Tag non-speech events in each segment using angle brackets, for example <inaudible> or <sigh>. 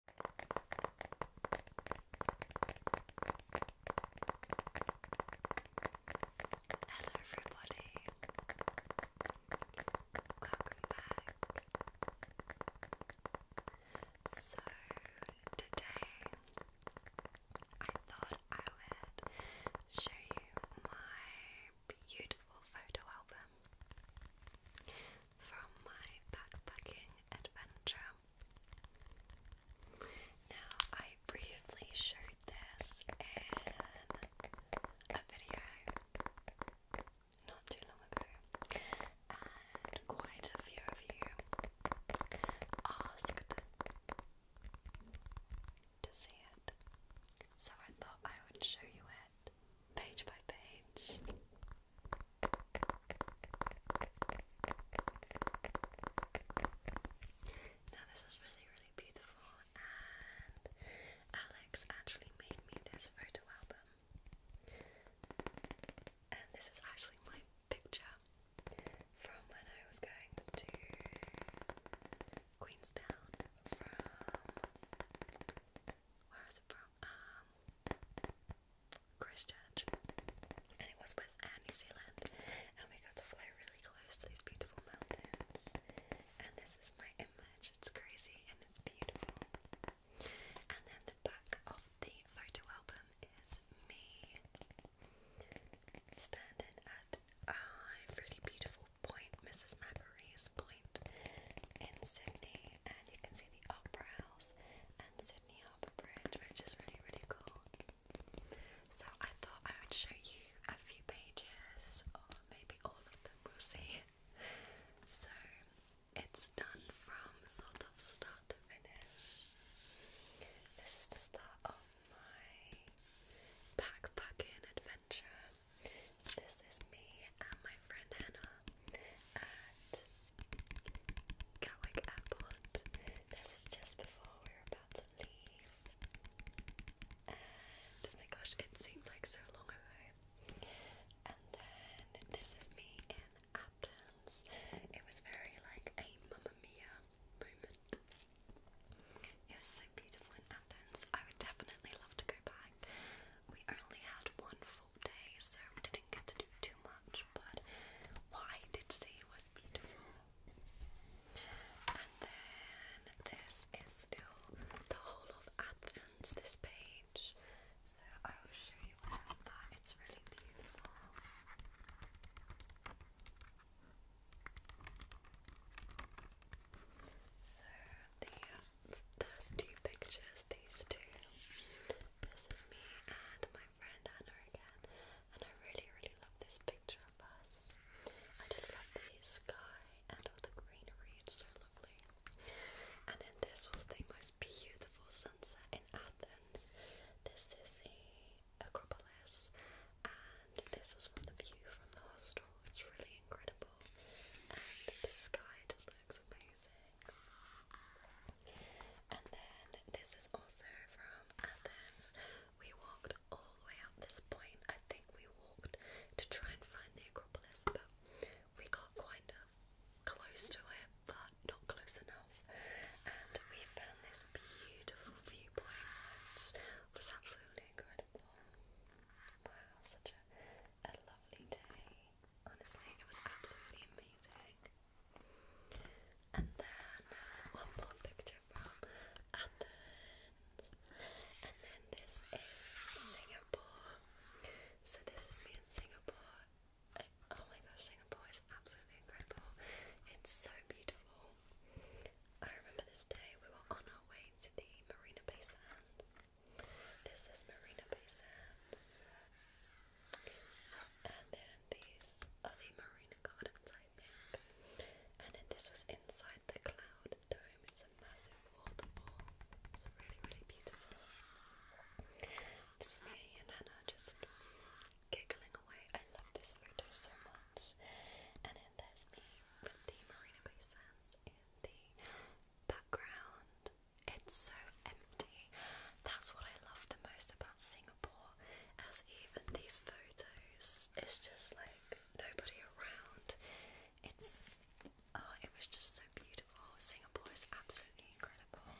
Hello, everybody. Welcome back. So, today I thought I would show you my beautiful photo album from my backpacking adventure. Now, I briefly showed this in a video not too long ago, and quite a few of you asked to see it, so I thought I would show you it page by page. Now, this is really, really beautiful, and Alex actually made me this photo album. And this is actually my picture from when I was going to Queenstown where is it from? Um, Christchurch, and it was with New Zealand, and we got to fly really close to these beautiful mountains. And this is my image. It's crazy and it's beautiful. And then the back of the photo album is me standing at a really beautiful point, Mrs. Macro Breeze Point in Sydney, and you can see the Opera House and Sydney Harbour Bridge, which is really, really cool. So, I thought I would show you a few pages, or maybe all of them, we'll see. So, it's done from sort of start to finish. This is the start of my backpacking adventure. So this is me and my friend Hannah at Gatwick Airport. This was just before we were about to leave. oh my gosh, it seemed like so long ago. And then this is me in Athens. It was very like a Mamma Mia moment. It was so beautiful in Athens. I would definitely love to go back. We only had one full day, so didn't get to do too much, but what I did see was beautiful. And then this is still the whole of Athens, this page. So I will show you that. It's really beautiful. So the there's two pictures, these two. This is me and my friend Anna again, and I really, really love this picture of us. I just love the sky and all the greenery, it's so lovely. And then this was the most beautiful sunset in Athens. This is the Acropolis, and this was from the view from the hostel. It's really incredible and the sky just looks amazing. And then this is also from Athens. We walked all the way up this point. I think we walked to try and find the Acropolis, but we got kind close to it, but not close enough. And we found this beautiful viewpoint, which was absolutely incredible. Wow, such a a lovely day. Honestly, it was absolutely amazing. And then there's one more picture from Athens. And then this is Singapore. So this is me in Singapore. Oh my gosh, Singapore is absolutely incredible. It's so beautiful. I remember this day we were on our way to the Marina Bay Sands this is Marina Bay Sands. And then these are the Marina Gardens, I think. And then this was inside the Cloud Dome. It's a massive waterfall. It's really, really beautiful. This is me and Hannah just giggling away. I love this photo so much. And then there's me with the Marina Bay Sands the background. It's so empty. That's what I love the most about Singapore, as even these photos, it's just like nobody around. It's oh, it was just so beautiful. Singapore is absolutely incredible.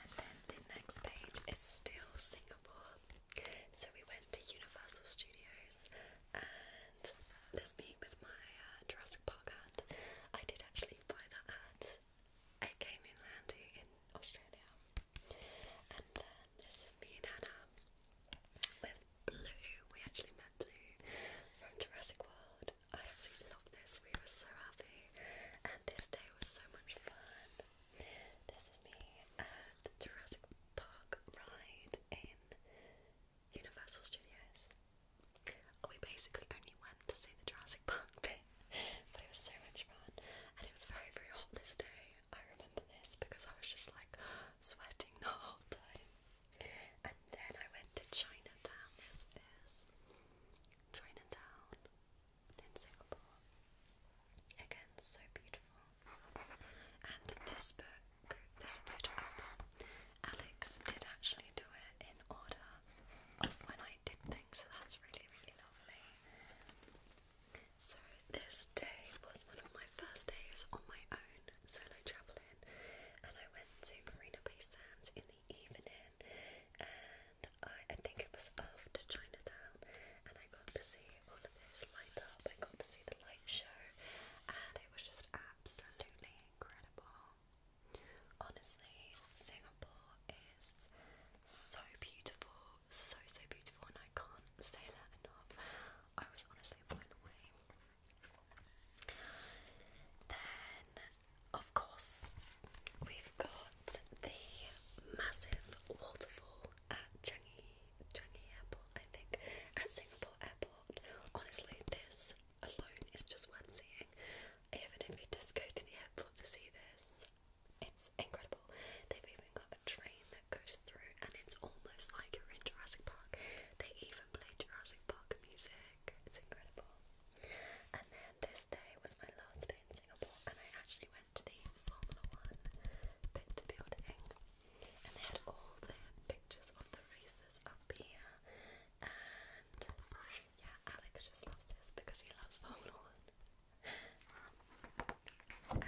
And then the next page is still Singapore. So we went to Universal Studios and me with my uh, Jurassic Park hat. I did actually buy that hat. It came in handy in Australia. And then this is me and Hannah with Blue. We actually met Blue from Jurassic World. I absolutely love this. We were so happy, and this day was so much fun. This is me at the Jurassic Park ride in Universal Studios. We basically only went to see the Jurassic Park <laughs> bit, but it was so much fun, and it was very, very hot this day. I remember this because I was just like sweating the whole time. And then I went to Chinatown. This is Chinatown in Singapore. Again, so beautiful. And this book, this photo album, Alex did actually do it in order of when I did things, so that's really, really lovely. So, this day was one of my first days on my own solo travelling, and I went to Marina Bay Sands in the evening, and I, I think it was after Chinatown, and I got to see all of this light up. I got to see the light show, and it was just absolutely incredible. Honestly, Singapore is so beautiful, so so beautiful, and I can't say that enough. I was honestly blown away. Then, of course, we've got the massive waterfall at Changi, Changi Airport, I think, at Singapore Airport. Honestly, this alone is just worth seeing. Even if you just go to the airport to see this, it's incredible. They've even got a train that goes through, and it's almost like you're in Jurassic Park. They even play Jurassic Park music. It's incredible. And then this day was my last day in Singapore, and I actually went to the Formula One pit building and they had all the pictures of the races up here. And yeah, Alex just loves this because he loves Formula One. and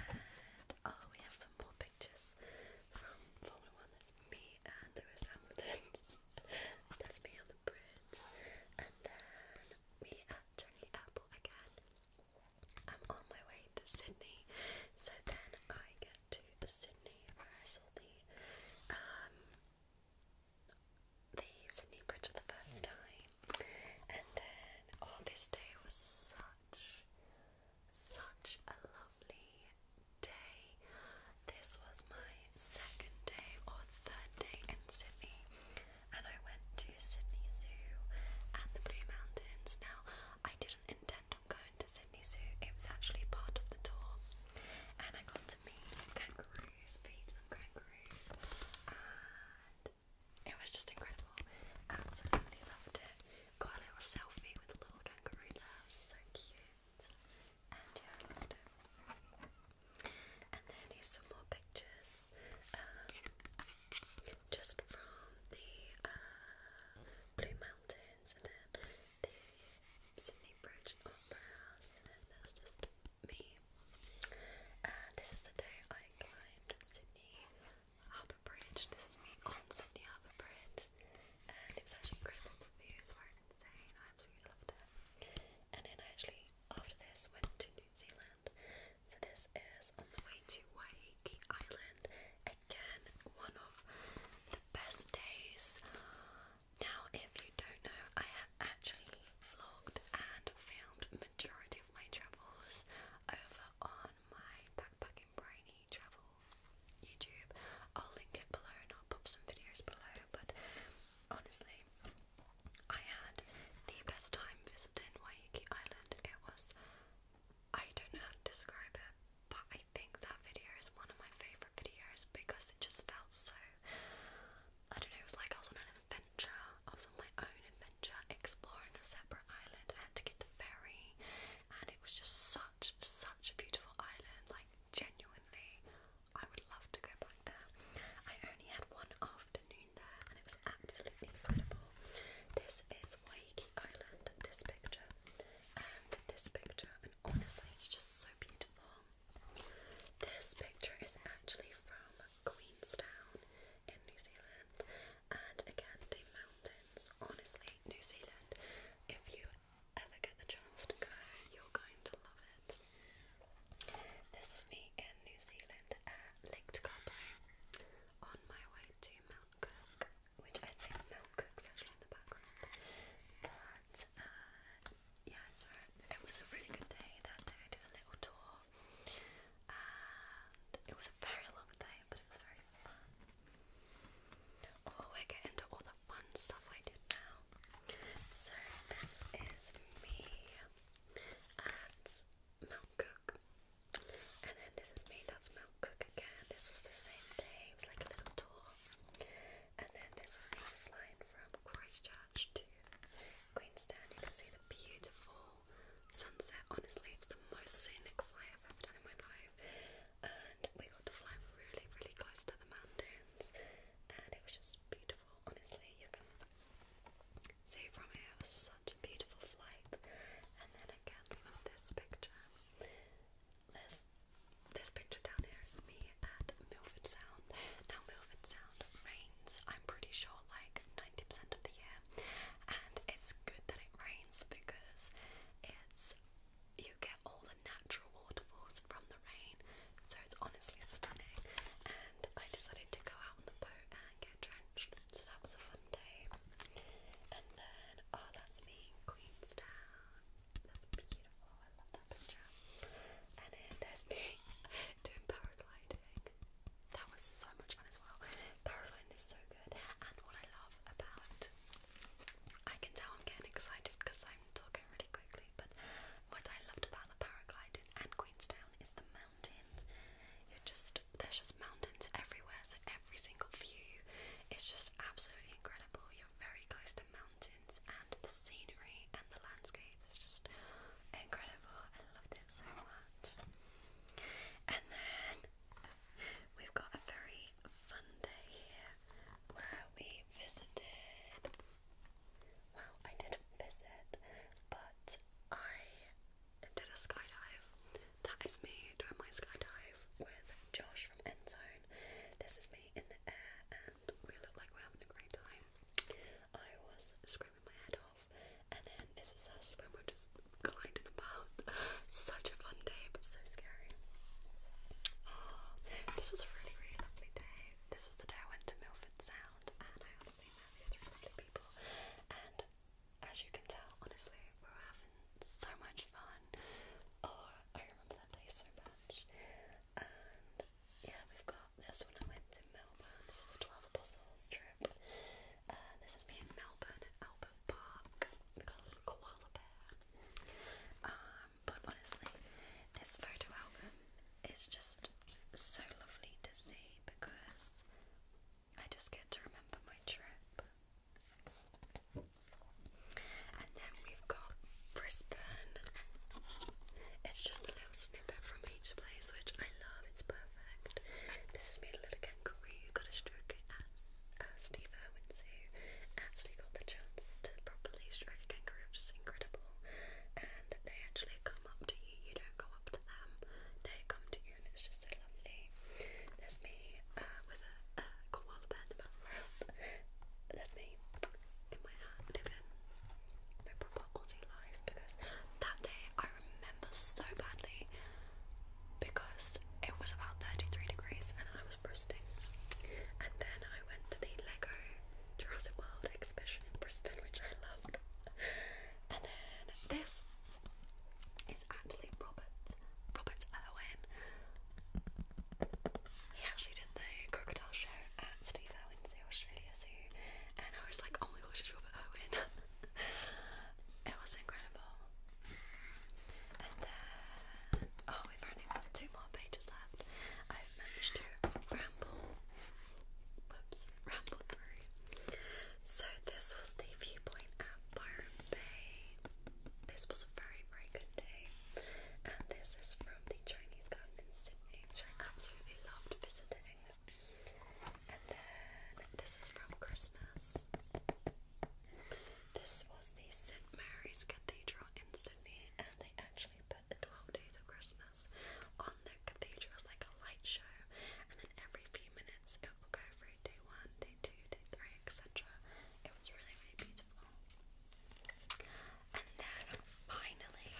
oh, we have some more pictures from Formula One. That's me and Lewis Hamilton. That's me on the bridge. And then me at Changi Airport again. I'm on my way to Sydney, so then I get to Sydney where I saw the um the Sydney Bridge for the first time, and then oh, this day was such such a lovely day. This was my second day or third day in Sydney, and I went to Sydney Zoo and the Blue Mountains. Now, I didn't intend on going to Sydney Zoo, it was actually part of the tour, and I got to meet some kangaroos, feed some kangaroos, and it was just incredible. Absolutely loved it. Got a little selfie with a little kangaroo there, so cute. And yeah, And then some more pictures. Um, just from the uh, Blue Mountains and then the Sydney Bridge Opera House, and that's just me. Uh, this is the day I climbed Sydney Harbour Bridge. This is me on Sydney Harbour Bridge, and it was actually incredible. The views were insane. I absolutely loved it. And then I actually, after this, went to New Zealand so this is on the way to Waikiki Island. Again, one of the best days. Now, if you don't know, I have actually vlogged and filmed majority of my travels over on my backpacking brainy travel YouTube. I'll link it below and I'll pop some videos below. But honestly, I had the best time visiting Waikiki Island it was I don't know how to describe it, but I think that video is one of my favourite videos because it just felt so I don't know, it was like I was on an adventure, I was on my own adventure, exploring a separate island. I had to get the ferry and it was just such such a beautiful island, like genuinely I would love to go back there. I only had one afternoon and it was absolutely incredible. This is Waikiki Island, this picture, and this picture, and honestly, it's just so beautiful. This picture is actually from Queenstown in New Zealand, and again, the mountains. Honestly, New Zealand, if you ever get the chance to go, you're going to love it. This is me in New Zealand at uh, Lake Tekapo on my way to Mount Cook, which I think Mount Cook's actually in the background. But uh, yeah, it's It was a really good day that day. I did a little tour and it was a very long day, but it was very fun. Oh, we're getting to all the fun stuff I did now. So, this is me at Mount Cook. And then this is me, that's Mount Cook again. This was the same day, it was like a little tour. And then this is me flying from Christchurch to Queenstown. You can see the beautiful sunset. Honestly, it's the most scenic fly I've ever done in my life. And we got to fly really, really close to the mountains. And it was just beautiful, honestly. You can so from here was such a beautiful flight, and then again from this picture, this this picture down here is me at Milford Sound. Now Milford Sound rains. I'm pretty sure like ninety percent of the year, and it's good that it rains because it's you get all the natural waterfalls from the rain. So it's honestly stunning, I decided to go out on the boat and get drenched, so that was a fun day. And then, oh, that's me in Queenstown. That's beautiful. I love that picture. And then there's me <laughs> doing paragliding. That was so much fun as well. Paragliding is so good, and what I love about I can tell I'm getting excited because I'm talking really quickly, but what I loved about the paragliding and Queenstown is the mountains mountains. You're just there's just mountains everywhere, so every single view is just absolutely incredible. You're very close to mountains, and the scenery and the landscapes. just incredible. I loved it so much. And then we've got a very fun day here where we visited well, I didn't visit, but I did a skydive. That is me doing my skydive with Josh from Endzone. This is me in the air, and we look like we're having a great time. I was screaming my head off, and then this is us when we're just gliding about. <laughs> Such a fun day, but so scary. Ah, this was a really, really lovely day. This was the day I went to Milford Sound and I had same area, three people, and as you can tell, honestly, we are having so much fun. Oh, I remember that day so much. And yeah, we've got this one. I went to Melbourne. This is a Twelve Apostles trip. Uh, this is me in Melbourne Albert Park. We got a little koala bear. Um, but honestly, this photo album it's just so lovely to see because I just get to remember my trip. And then we've got Brisbane. It's just a little snippet from each place, which I love, it's perfect. This is made a little kangaroo, got a stroke at as Steve Irwin's, who actually got the chance to properly stroke a kangaroo, which is incredible and they actually come up to you, you don't go up to them, they come to you and it's just so lovely. That's me uh, with a, a koala bear in the background. There's me in my hat living my proper Aussie life because that day I remember so badly because it was about 33 degrees and I was bursting. And then I went to the Lego Jurassic World exhibition in Brisbane, which I loved. And then this is actually Robert Robert Irwin. He actually did the crocodile show at Steve Irwin Australia Zoo, and I was like, oh my gosh, it's Robert Irwin. <laughs> it was incredible. And then, oh, we've only got two more pages left i managed to ramble, whoops, ramble through. So this was the viewpoint at Byron Bay. This was a very, very good day. And this is from the Chinese garden in Sydney, which I absolutely loved visiting. And then this is from Christmas. This was the St. Mary's Cathedral in Sydney, and they actually they put 12 days of Christmas on the cathedral as like a light show, and then every few minutes it will go through day one, day two, day three, etc. It was really, really beautiful. And then finally,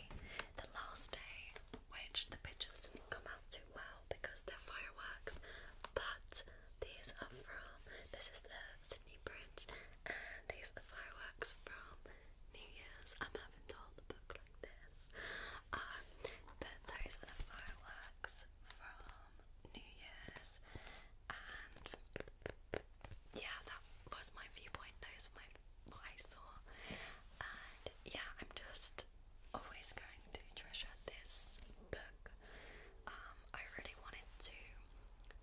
the last day, which the pictures didn't come out too well because they're fireworks, but these are from this is the Sydney Bridge, and these are the fireworks from New Year's. I'm having to the book like this. Um, but the fireworks from New Year's, and yeah, that was my viewpoint. Those were my what I saw, and yeah, I'm just always going to treasure this book. Um, I really wanted to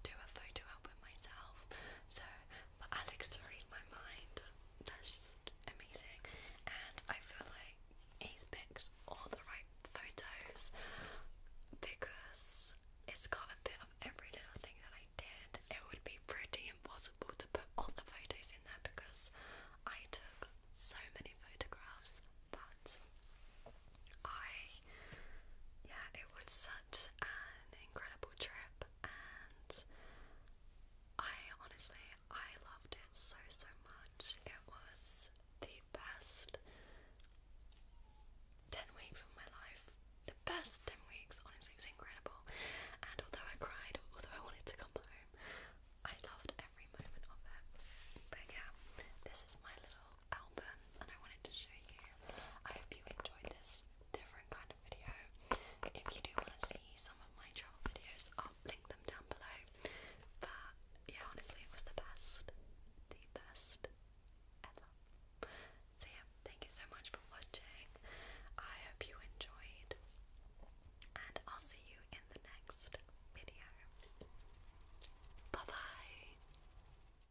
do a photo album myself, so for Alex to read my mind. That's just amazing. And I feel like he's picked all the right photos because it's got a bit of every little thing that I did. It would be pretty impossible to put all the photos in there because I took so many photographs, but I, yeah, it would an incredible trip, and I honestly I loved it so so much. It was the best ten weeks of my life. The best ten weeks, honestly, it was incredible. And although I cried, although I wanted to come home, I loved every moment of it. But yeah, this is my little album and I wanted to show you. I hope you enjoyed this different kind of video. If you do want to see some of my travel videos, I'll link them down below. But yeah, honestly, it was the best. The best ever. So yeah, thank you so much for watching. I hope you enjoyed. And I'll see you in the next video. Bye bye.